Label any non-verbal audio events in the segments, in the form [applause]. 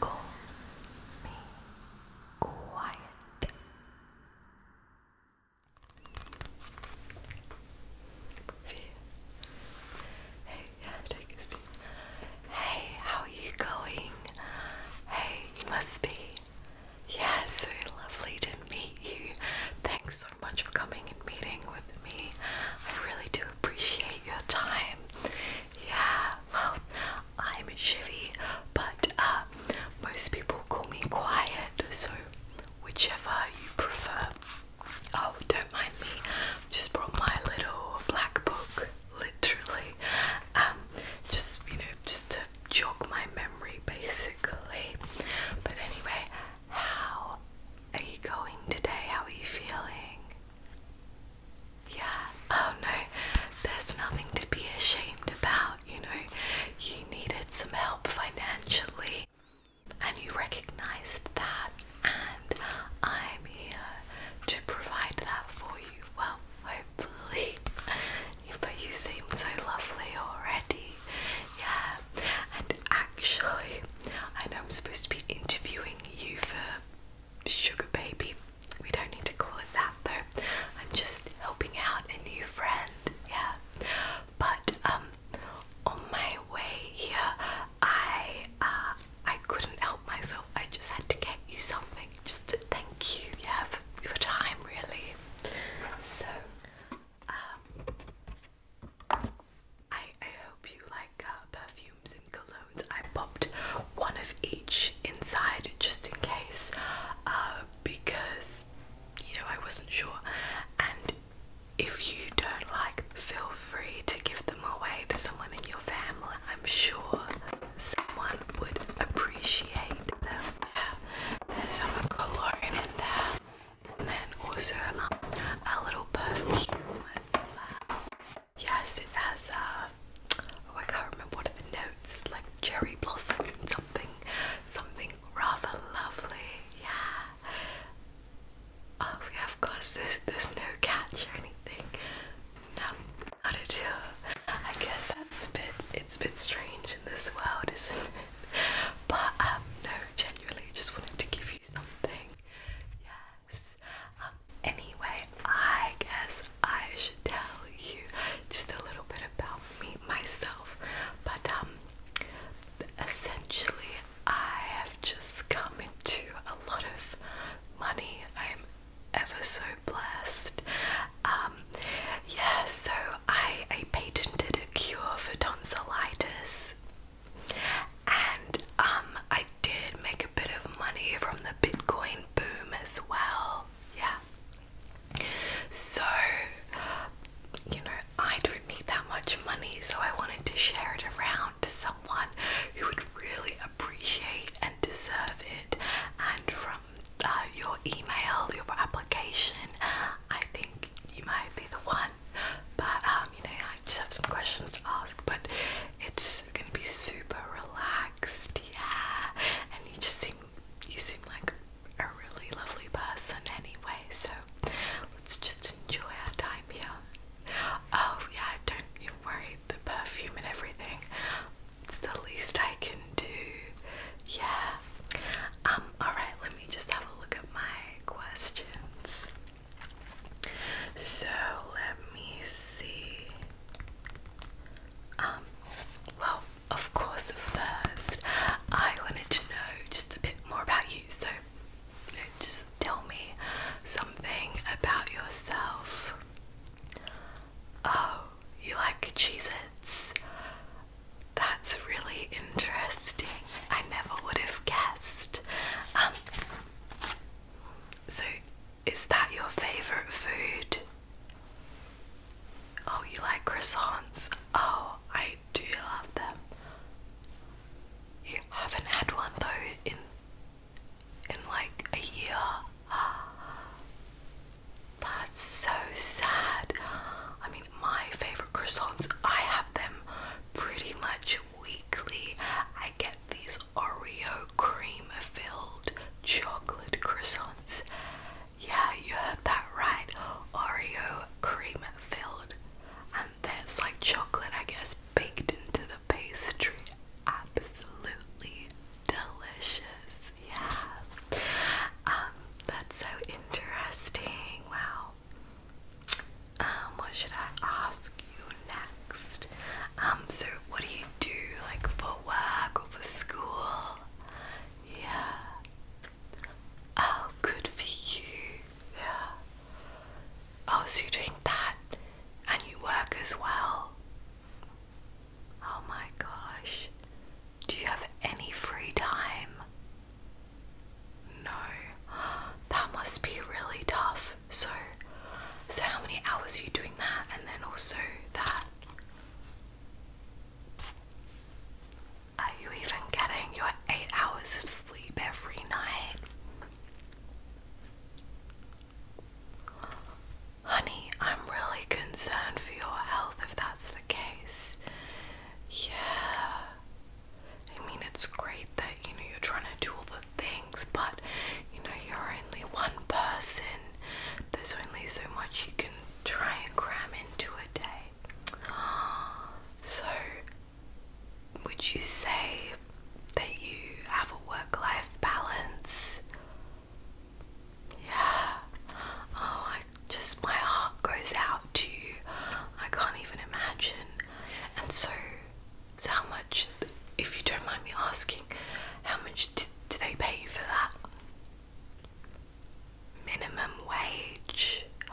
Call me quiet. Hey, yeah, take a Hey, how are you going? Hey, you must be. Yeah, so lovely to meet you. Thanks much for coming and meeting with me. I really do appreciate your time. Yeah, well, I'm Shivy, but uh, most people call me Quiet, so whichever you prefer. Oh, don't mind me. Just brought my little black book, literally. Um, just you know, just to jog my memory, basically. But anyway, how are you going today? How are you feeling? Yeah, oh no, there's nothing to be ashamed about, you know. You needed some help financially and you recognized that, and I'm here to provide that for you. Well, hopefully, [laughs] but you seem so lovely already, yeah. And actually, I know I'm supposed to be interviewing you for Sugar Baby. We don't need to call it that though. I'm just helping out a new friend, yeah. But um, on my way here, I uh, I couldn't help myself. I just had to get you something, just to thank you, yeah, for your time, really. So. Um, I I hope you like uh, perfumes and colognes. I popped one of each inside just in case, uh, because you know I wasn't sure. And if you don't like, feel free to give them away to someone in your family. I'm sure someone would appreciate them. Yeah, there's some cologne in there and then also a little perfume Yes, it has a. Uh, oh I can't remember what are the notes, like cherry blossom, something, something rather lovely. Yeah. Oh we have course. There's, there's no catch or anything. No, not at all. I guess that's a bit. It's a bit strange in this world, isn't it? But um, no, genuinely, just wanted to give you something yes. Um, anyway, I guess I should tell you just a little bit about me myself. But um, essentially, I have just come into a lot of money. I'm ever so blessed. Um, yeah. So I patented a cure for tonsillitis. And um, I did make a bit of money from the Bitcoin boom as well. Yeah. So, you know, I don't need that much money, so I wanted to share it around to someone who would really appreciate and deserve it. And from uh, your email, your application, I think you might be the one. But uh, you know, I just have some questions to ask, but it's gonna be super relaxed, yeah. And you just seem you seem like a really lovely person anyway, so let's just enjoy our time here. Oh yeah, don't you worry, the perfume and everything. It's the least I can do. Yeah. Um, alright, let me just have a look at my questions. So let me see. Um, well, of course, first I wanted to know just a bit more about you. So, just tell me something about yourself. Oh, you like Cheez That's really interesting. I never would have guessed. Um, so, is that your favourite food? Oh, you like croissants? Oh, I do love them. You haven't had one though in in like a year. [gasps] That's so sad. I mean, my favorite croissants. I have them pretty much weekly. I get these Oreo cream filled chocolate croissants. Yeah, you heard that right. Oreo cream filled. And that's like chocolate, I guess, baked into the pastry. Absolutely delicious. Yeah. Um, that's so interesting. Wow. Um, what should I ask you next? Um, so what do you do like for work or for school? Yeah. Oh, good for you. Yeah. Oh, so you're that and you work as well. Oh my gosh. Do you have any free time? No. That must be really tough. So so how many hours are you doing that and then also that? Are you even getting your eight hours of sleep every night? Honey, I'm really concerned for your health if that's the case. Yeah. I mean, it's great that you know you're trying to do all the things, but you know, you're only one person, there's only so much you can try and cram into a day. [gasps] So, would you say that you have a work life balance? Yeah. Oh, I just my heart goes out to you. I can't even imagine. And so, how much, if you don't mind me asking, how much do, do they pay you for that? Minimum wage. [gasps]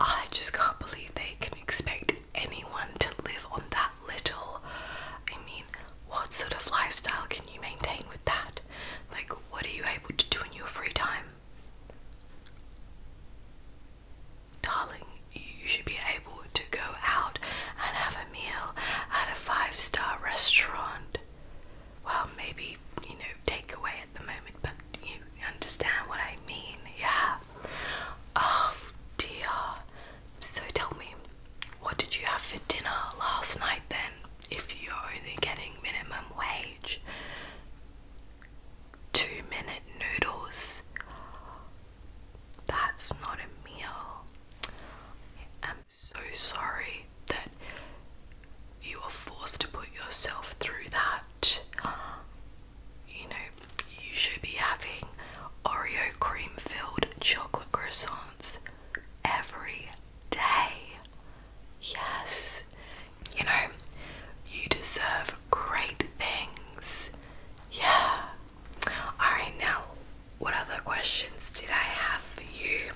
I just can't believe they can expect anyone to live on that little. I mean, what sort of lifestyle can you maintain with that? Like, what are you able to do in your free time? Darling, you should be able to go out and have a meal at a five star restaurant. Well, maybe, you know, takeaway at the moment, but you understand what I mean, yeah? Oh dear. So tell me, what did you have for dinner last night then, if you're only getting minimum wage? two minute noodles. That's not a meal. I'm so sorry that you are forced to put yourself through that. You know, you should be having Oreo cream filled chocolate croissants every day. Yes, you know, you deserve great things. Yeah. Alright, now, what other questions did I have for you?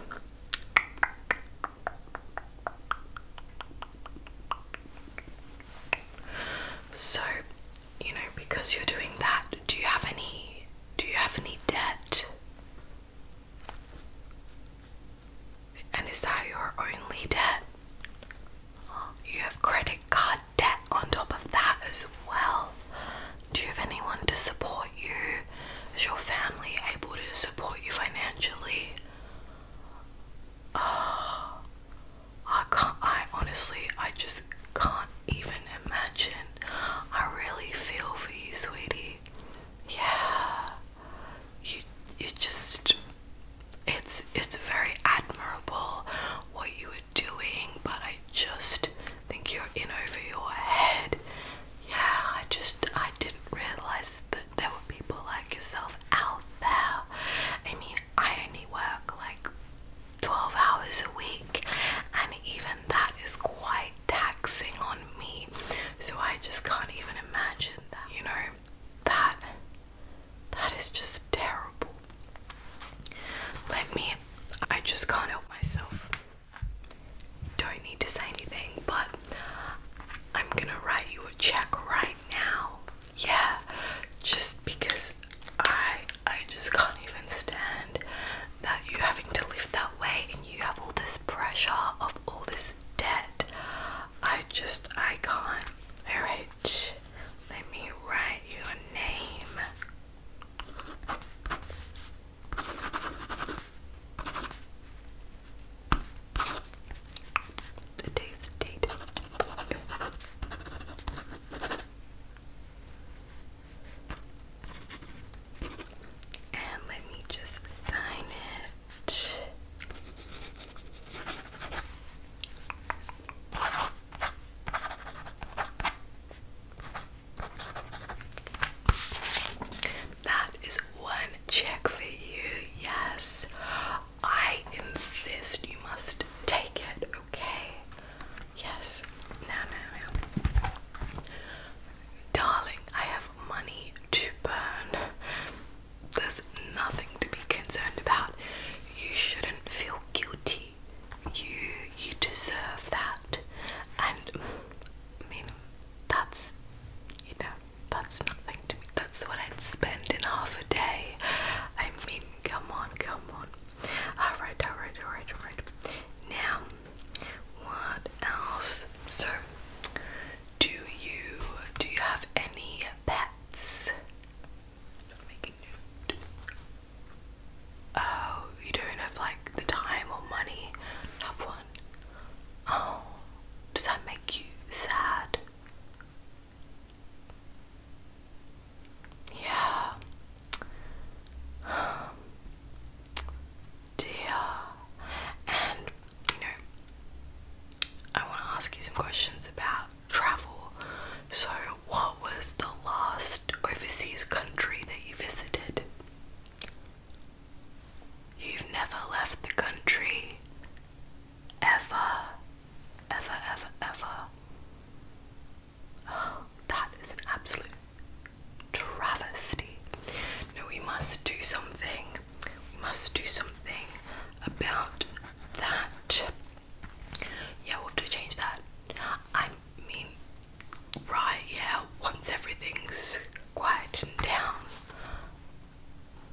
So, you know, because you're doing that, do you have any do you have any debt? And is that your only debt? You have credit card debt on top of that as well. Do you have anyone to support you? Is your family able to support you financially? Oh, I can't, I honestly, I just can't even imagine. I really feel for you, sweetie. Yeah you you just it's it's very admirable what you were doing, but I just think you're in over your head. Yeah, I just I didn't realize that there were people like yourself out there. I mean, I only work like 12 hours a week, and even that is quite taxing on me. So I just can't even imagine that, you know that that is just terrible. Let me I just can't help myself. Don't need to say anything, but I'm gonna write you a check right now. Yeah, just because I I just can't even stand that you having to live that way and you have all this pressure of all this debt. I just I can't. Alright, let me write your name. Today's date. And let me just sign it. That is one check for you. Yes. I insist you must take it, okay? Yes. No, no, Darling, I have money to burn there's nothing to be concerned about. You shouldn't feel guilty. You you deserve that. And I mean that's you know, that's nothing to me. That's what I'd spend in half a day. I mean, come on, come on. Alright, alright, alright, alright. Now what else? sir? Do you do you have any pets? Oh, you don't have like the time or money. Have one. Oh, does that make you sad? Yeah. Um, dear you know, I want to ask you some questions about travel. So, what was the last overseas country that you visited? You've never left the country ever, ever, ever, ever. [gasps] that is an absolute travesty no, we must do something. We must do something about that. Yeah, we'll have to change that. I mean, right, yeah, once everything's quietened down.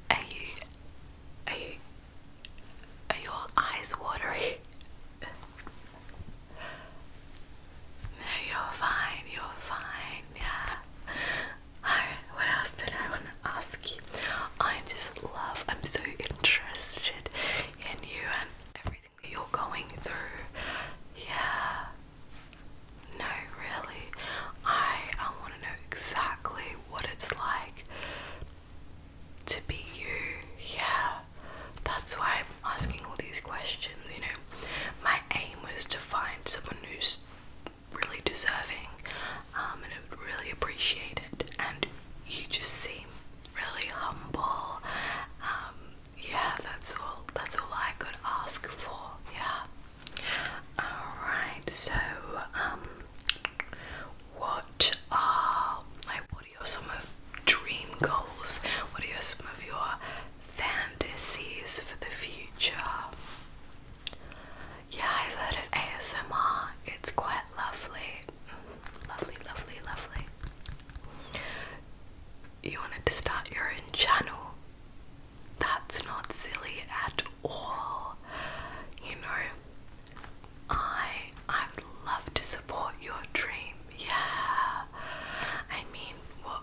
Are you, are you, are your eyes watery? no, you're fine, you're fine, yeah what else did I want to ask you? I just love, I'm so interested in you and everything that you're going through. Yeah. No, really. I, I want to know exactly what it's like to be you. Yeah. That's why I'm asking all these questions, you know. My aim was to find someone who's really deserving um, and I would really appreciate it. And you just seem really humble. Um, yeah, that's all. That's all I could ask for. Yeah. All right. So, um, what are like? What are your some of dream goals? What are some of your fantasies for the future? Yeah, I've heard of ASMR. It's quite lovely. Lovely, lovely, lovely. You wanted to start your own channel? That's not silly at all. You know, I I would love to support your dream. Yeah. I mean,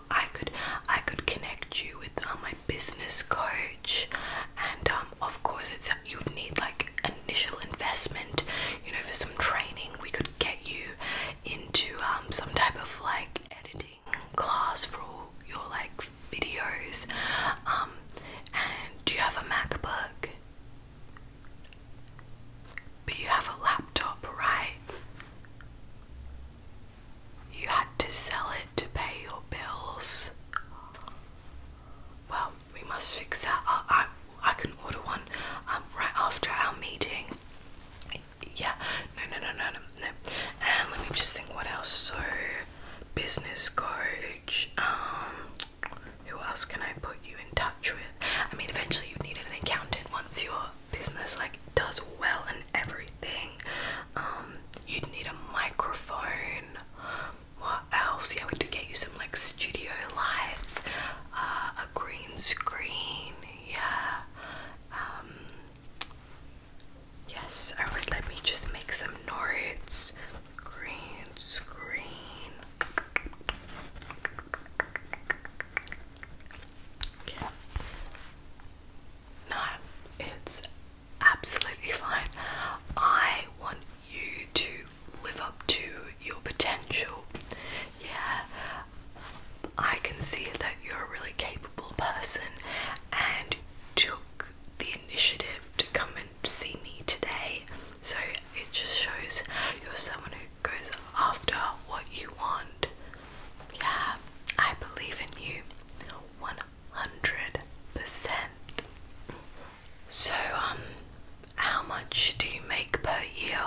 I could I could connect you with uh, my business coach, and um, of course it's you'd need like initial investment, you know, for some training. We could get you into um, some type of like editing class for your like videos. Um, and you have a MacBook? But you have a laptop, right? you had to sell it to pay your bills. Well, we must fix that. I, I, can order one um, right after our meeting. Yeah, no, no, no, no, no, And let me just think what else. So, business coach. Um, who else can I put you in touch with? I mean, eventually you need an accountant once your business like does well and everything. Um, you'd need a microphone. What else? Yeah, we did get you some like studio lights, uh, a green screen. Yeah. Um, yes, Alright. Let me just make some noise. Green screen. No, it's absolutely fine. I want you to live up to your potential. Yeah, I can see that you're a really capable person and took the initiative to come and see me today. So it just shows you're someone who goes after what you want. Yeah, I believe in you. 100%. So, um, how much do you make per year?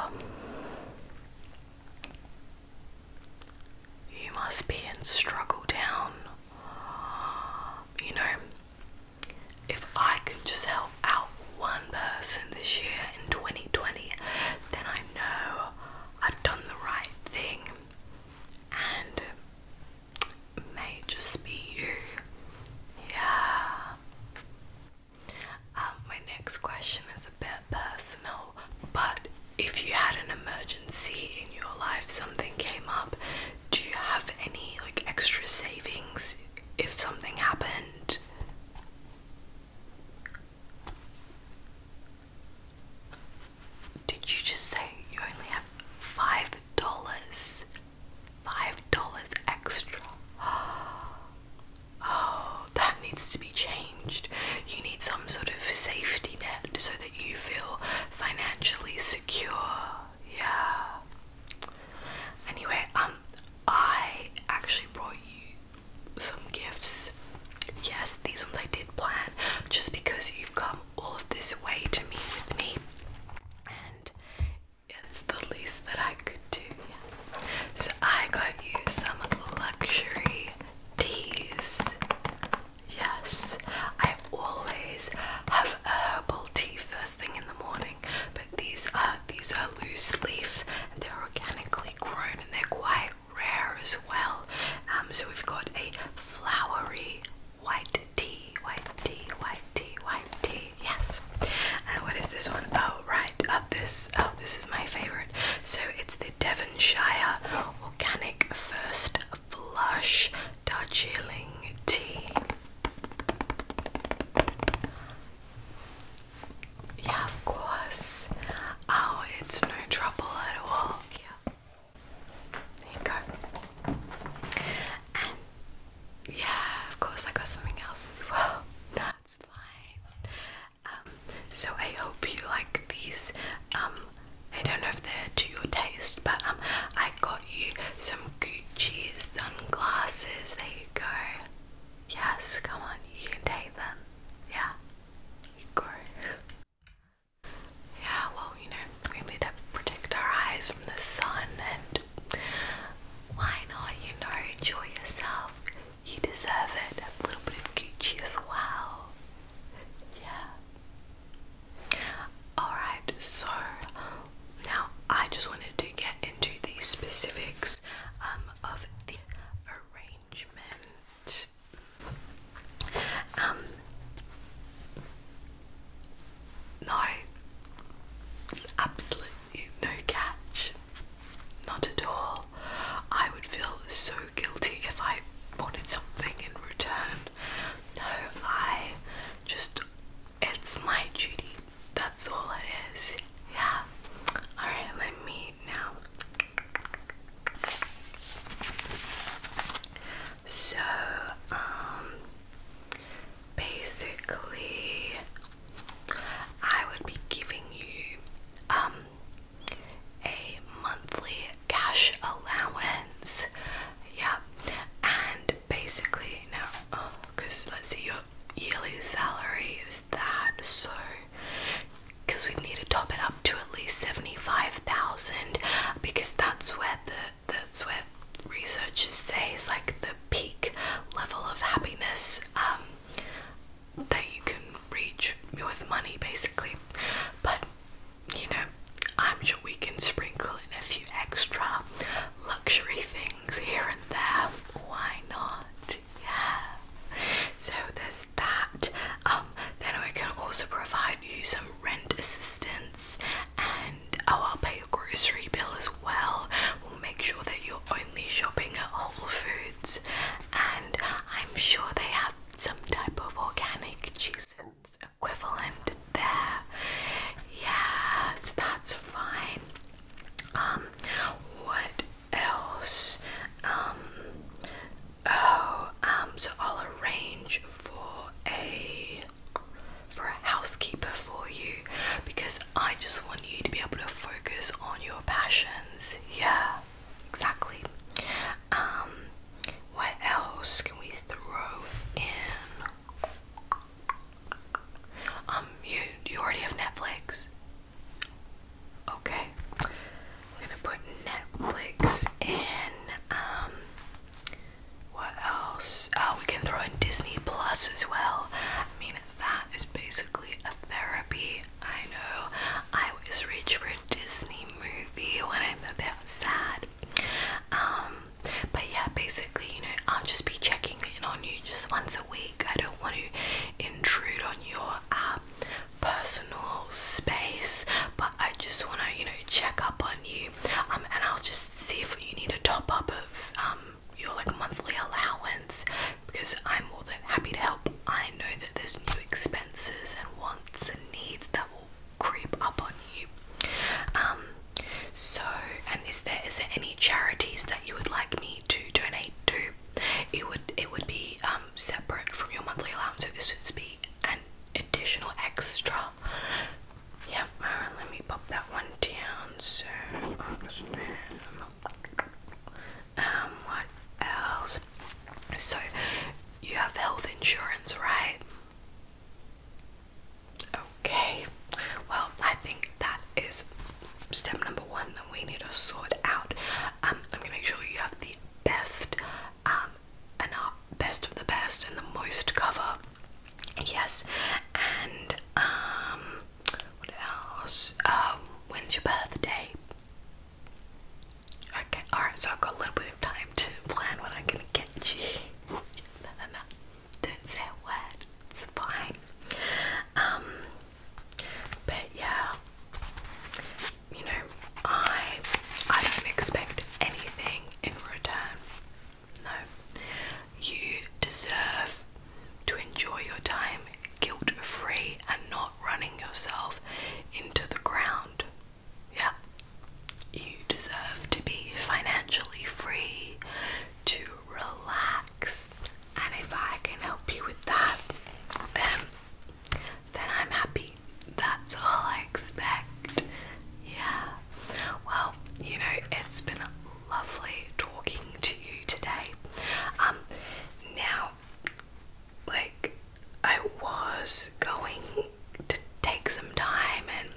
You must be in struggle down. You know, if I can just help out one person this year in 2020, then I know I've done the right thing and may just be you. Yeah. Um, my next question is a bit personal, but if you had an emergency in your life, something came up, do you have any like extra savings if something happened? Did you just say you only have five dollars? Five dollars extra. [gasps] Oh, that needs to be changed. You need some sort of safety net so that you feel financially secure. Yeah. Anyway, um, I actually brought you some gifts yes, these ones I did plan just because you've come all of this way to meet with me, and it's the least that I could do. So I got you some luxury teas. Yes, I always have herbal tea first thing in the morning, but these are these are loose leaf and they're organically grown and they're quite rare as well. Um, so we've got a flowery white tea, white tea, white tea, white tea. Yes. And what is this one? Oh, right. Oh, this. Oh, this is my favorite. So it's the Devonshire Organic First Flush Darjeeling Tea. Yeah, of course. Oh, it's no trouble at all. There you go. And yeah, of course, I got something else as well. [laughs] That's fine. Um, so I hope you like these. Um, I don't know if they're to your taste, but um, I got you some Gucci sunglasses. There you go. Yes, come on, you can take them. Yeah, you go. [laughs] Yeah, well, you know, we need to protect our eyes from the sun, and why not, you know, enjoy yourself? You deserve it. A little bit of Gucci as well. Yeah. Alright, so now I just wanted to get into the specifics um, of the arrangement. Um, no, absolutely no catch. Not at all. I would feel so guilty if I wanted something in return. No, I just, it's my duty. That's all it is. Yeah. Alright, let me now. So, um, basically, I would be giving you um, a monthly cash allowance, yeah, and basically, now, because oh, let's see, your yearly salary is that, so because we need to top it up to at least 75,000 because that's where the that's where researchers say is like the peak level of happiness um, that you can reach with money basically but you know I'm sure we can sprinkle in a few extra luxury things here and there why not yeah so there's that. Um, then I can also provide you some rent assistance and oh, I'll pay your grocery bill as well. We'll make sure that you're only shopping at Whole Foods and I'm sure they have some type of organic cheese equivalent there. Yeah, that's fine. Um, what else. Um, oh, um, so I'll arrange for a for a housekeeper for you because I just want you to be able to focus on your passions. Yeah, exactly. Um, what else can we throw in? Um, you you already have Netflix. Okay. We're gonna put Netflix in. Um what else? Oh, we can throw in Disney Plus as well. I mean that is basically a therapy. I know. I always reach for a Disney movie when I'm a bit sad. Um but yeah, basically, you know, I'll just be checking in on you just once a week. I don't want to intrude on your uh, personal space, but I just want to, you know, check up on you. Um, and I'll just see if you need a top up of um your like monthly allowance because I'm more than happy to help. I know that there's new expenses and wants and needs that will creep up on you. Um, so and is there is there any charities that you would like me to donate to? It would it would be um separate from your monthly allowance, so this would be an additional extra. Yep, uh, let me pop that one down. So, um, what else? So, you have health insurance, right? Okay, well, I think that is step number one that we need to sort out. Um, I'm gonna make sure you have the best um, and our best of the best and the most cover. Yes, and um, what else? Um, when's your birthday? Okay, alright, so I've got a little bit of time to plan what I'm gonna get you. no, [laughs] no, Don't say a word, it's fine. Um, but yeah, you know, I I don't expect anything in return. No. You deserve to enjoy your time guilt free and not running yourself into the ground. Yeah. You deserve to be financially free, to relax, and if I can help you with that, then then I'm happy. That's all I expect. Yeah. Well, you know, it's been lovely talking to you today. Um, now, like, I was going to take some time and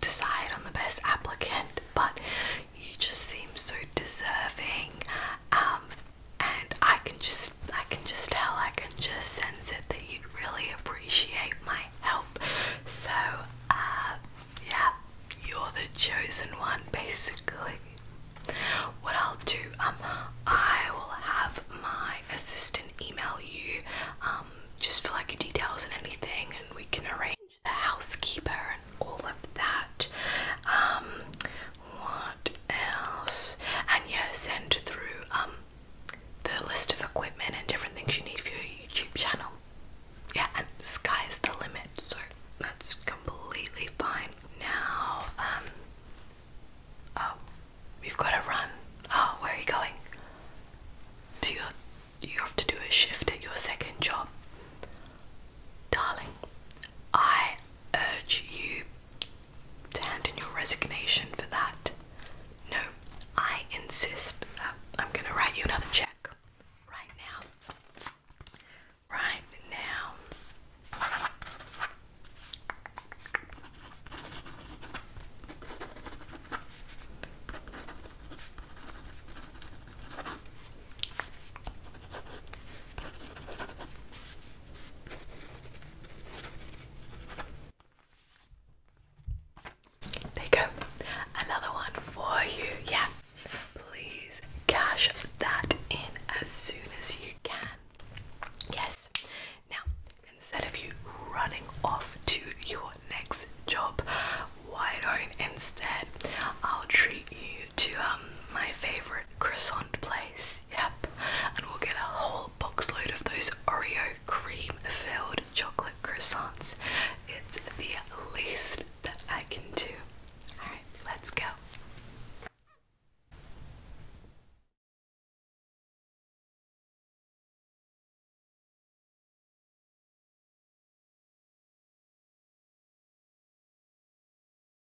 decide on the best applicant, but you just seem so deserving um, and I can just I can just tell I can just sense it that you'd really appreciate my help. So uh, yeah, you're the chosen one basically. What I'll do, um, I will have my assistant email you, um, just for like your details and anything, and we can arrange the housekeeper and all of that. Um, what else? And yeah, send through um the list of equipment and different things you need for your YouTube channel. Yeah, and sky's the limit, so that's completely fine. Now, um, oh, we've got to run. Oh, where are you going? Do you you have to do a shift at your second job? Darling, I urge you to hand in your resignation for that. No, I insist that I'm going to write you another check right now. Right now. There you go. Another one for you. Yeah. Please cash that in as soon as you can. Yes. Now, instead of you running off to your next job, why don't instead I'll treat you to um, my favorite croissant place. Yep, and we'll get a whole box load of those Oreo cream filled chocolate croissants. It's the least that I can do. Alright, let's go.